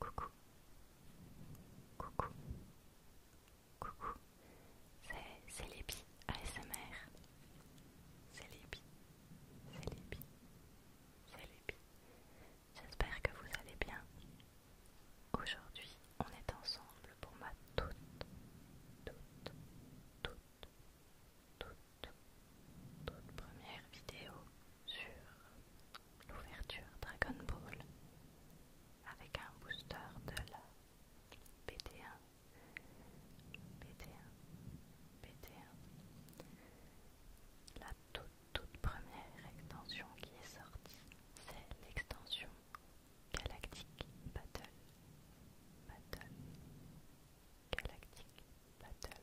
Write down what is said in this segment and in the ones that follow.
Coucou. Coucou. Coucou. C'est Lépi ASMR. C'est Lépi. C'est Lépi. C'est J'espère que vous allez bien. Aujourd'hui, on est ensemble pour ma toute, toute, toute, toute, toute première vidéo sur l'ouverture Dragon Ball avec un booster de la BT1, BT1, pt 1 La toute, toute première extension qui est sortie, c'est l'extension Galactic Battle. Battle. Galactic Battle.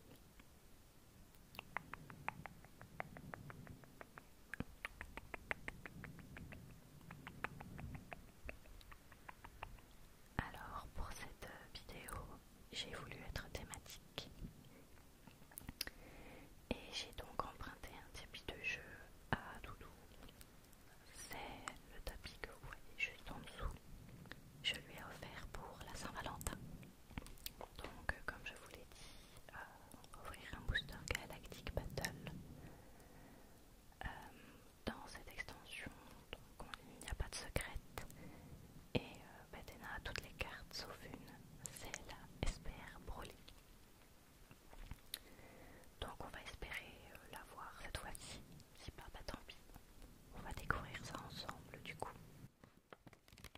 Alors pour cette euh, vidéo, j'ai voulu être thématique et j'ai donc emprunté un tapis de jeu à Doudou. C'est le tapis que vous voyez juste en dessous. Je lui ai offert pour la Saint-Valentin. Donc, euh, comme je vous l'ai dit, euh, on va ouvrir un booster Galactic Battle. Euh, dans cette extension, donc, il n'y a pas de secrète. Et Bethena bah, Batena a toutes les cartes sauf une, c'est la SPR Broly. Donc on va espérer la voir cette fois-ci. Si pas, bah tant pis. On va découvrir ça ensemble du coup.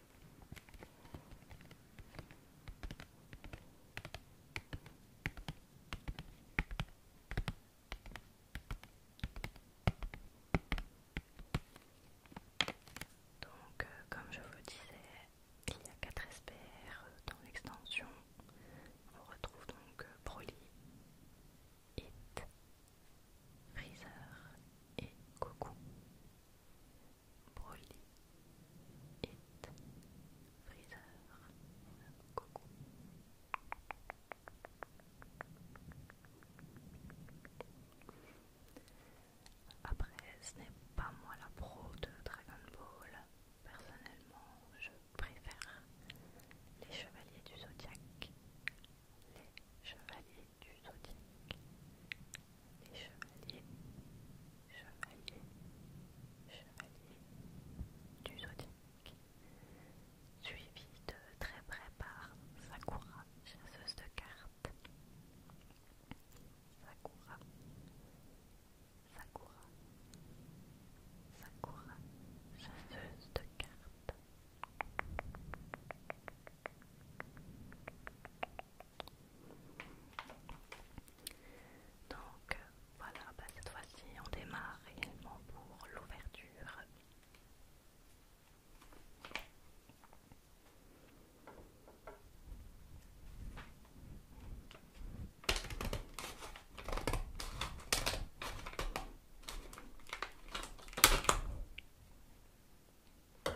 Donc, euh, comme je vous disais, il y a quatre SPR euh, dans l'extension. On retrouve donc euh, Broly, Hit, Freezer et Coco. Hit, Freezer, Après, ce n'est pas moi la pro de Dragon Ball. Personnellement, je préfère les Chevaliers du Zodiaque les chevaliers du zodiaque, les chevaliers, chevaliers, chevaliers du zodiaque, suivi de très près par Sakura, chasseuse de cartes. Sakura, Sakura, Sakura, chasseuse de cartes. Donc voilà, bah, cette fois-ci on démarre réellement pour l'ouverture. Détends-toi.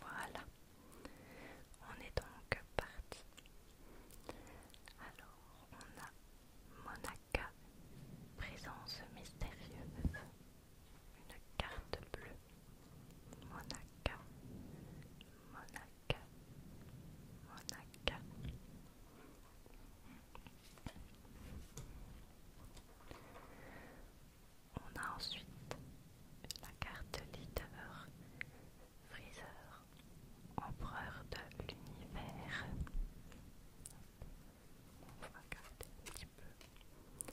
Voilà, on est donc parti. Alors, on a Monaca, présence mystérieuse, une carte bleue. Monaca, Monaca, Monaca. On a ensuite la carte leader, Freezer, empereur de l'univers. On va un petit peu.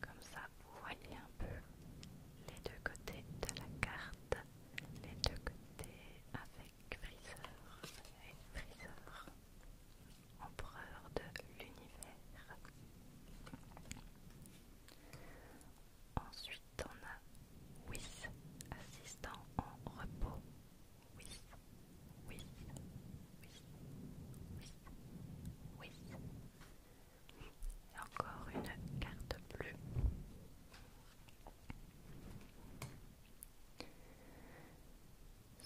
Comme ça, vous voyez un peu les deux côtés de la carte, les deux côtés avec Freezer empereur de l'univers. Ensuite, on a Wis, assistant en repos. Oui, Whis, Whis, Whis, Whis. encore une carte bleue.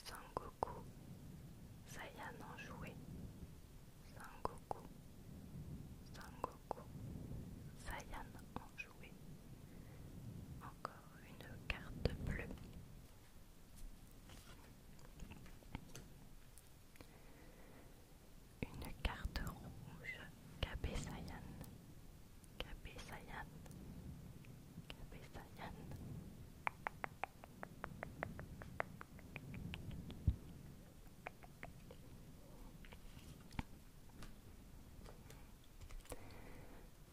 Sangoku Saiyan enjoué Sangoku Sangoku Saiyan enjoué Encore une carte bleue une carte rouge, KB Sayan Kabesayan Kabesayan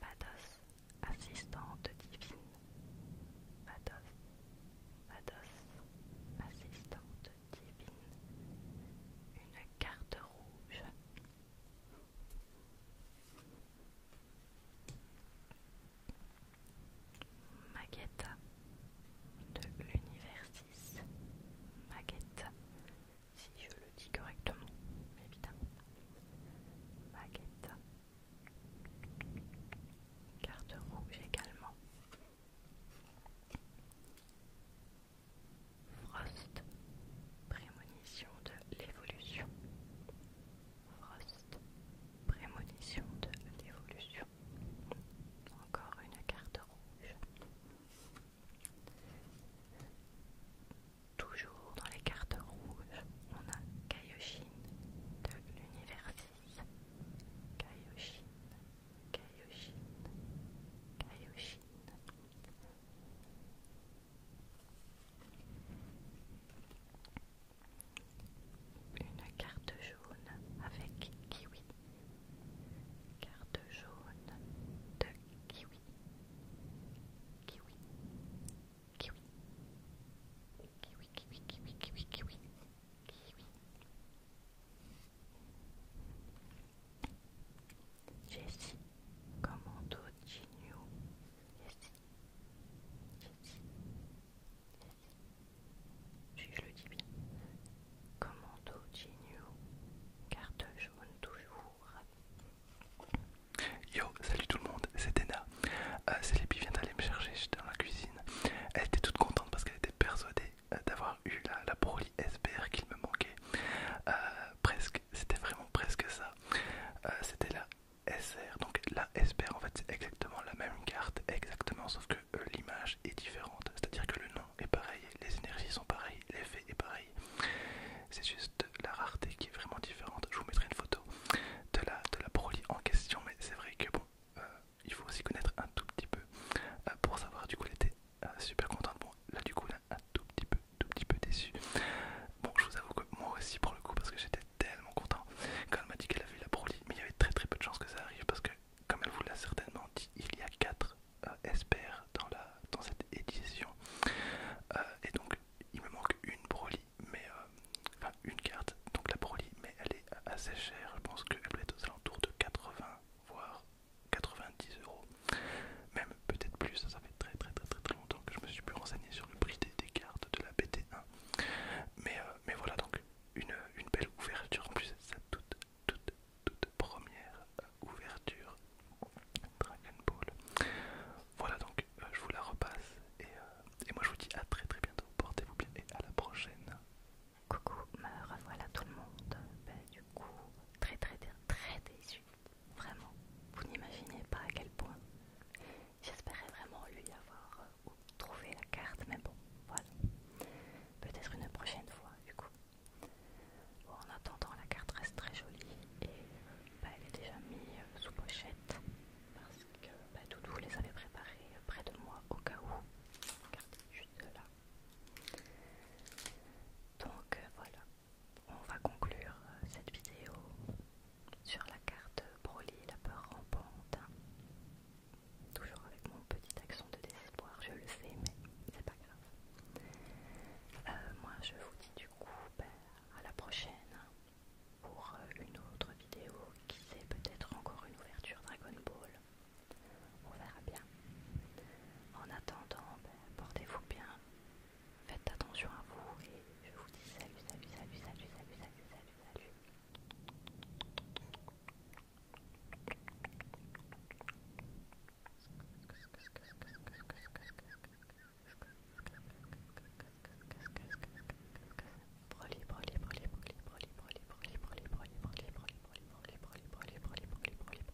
Vados, assistante divine Pados Pados, assistante divine Une carte rouge Maquette de l'univers 6. Maquette, si je le dis correctement, évidemment. Maquette. Carte rouge également. Frost, prémonition de l'évolution. Frost, prémonition de l'évolution. Encore une carte rouge. Toujours dans les cartes rouges, on a Kaioshin de l'univers 6. Kaioshin, Kaioshin, Kaioshin. Une carte jaune avec kiwi. Carte jaune de kiwi. Kiwi. Kiwi. Kiwi, kiwi, kiwi, kiwi, kiwi. Jessie, commando Ginyu. Jessie, Jessie, si Je le dis bien. Commando Ginyu. Carte jaune toujours. Yo, salut tout le monde, c'est Dena. Euh, Célébi vient d'aller me chercher, j'étais dans la cuisine. Elle était toute contente parce qu'elle était persuadée euh, d'avoir eu la, Broly SBR qu'il me manquait euh, presque c'était vraiment presque ça. Euh, c'était la SR, donc la SPR en fait c'est exactement la même carte, exactement, sauf que euh, l'image est différente. C'est-à-dire que le nom est pareil, les énergies sont pareilles, l'effet est pareil. C'est juste la rareté qui est vraiment différente. Je vous mettrai une photo de la, de la en question, mais c'est vrai que bon, euh, il faut aussi connaître un tout petit peu pour savoir. Du coup, elle était super contente. Bon, là du coup, un tout petit peu, tout petit peu déçu. Bon, je vous avoue que moi aussi pour le coup, parce que j'étais tellement content quand elle m'a dit qu'elle avait la Broly, mais il y avait très très peu de chances que ça arrive parce que, comme elle vous l'a certainement dit, il y a 4 euh, dans, la, cette édition. Euh, et donc, il me manque une Broly, mais euh, enfin une carte, donc la Broly, mais elle est assez chère. Je pense qu'elle doit être aux alentours de 80 voire 90 euros, même peut-être plus. Ça, fait très très très très très longtemps que je me suis plus renseigné sur le prix des, cartes de la BT1. Mais, euh, mais voilà donc une, une belle ouverture en plus sa toute toute toute première euh, ouverture Dragon Ball. Voilà donc euh, je vous la repasse et, et moi je vous dis à très très bientôt. Portez-vous bien et à la prochaine. Coucou, me revoilà tout le monde. Ben, du coup, très très très, très déçu Vraiment, vous n'imaginez pas à quel point. J'espérais vraiment lui avoir euh, trouvé la carte, mais bon, voilà. Peut-être une prochaine fois, du coup. en attendant, la carte reste très jolie et euh, bah, elle est déjà mise euh, sous pochette parce que tout bah, Doudou les avait préparées près de moi au cas où. juste là. Donc voilà, on va conclure euh, cette vidéo sur la carte Broly, la peur rampante. Toujours avec mon petit accent de désespoir, je le sais, mais c'est pas grave. Euh, moi, je vous dis du coup ben, à la prochaine pour euh, une autre vidéo qui c'est peut-être encore une ouverture Dragon Ball. On verra bien. En attendant, ben, portez-vous bien, faites attention à vous et je vous dis salut, salut, salut, salut, salut, salut, salut, salut.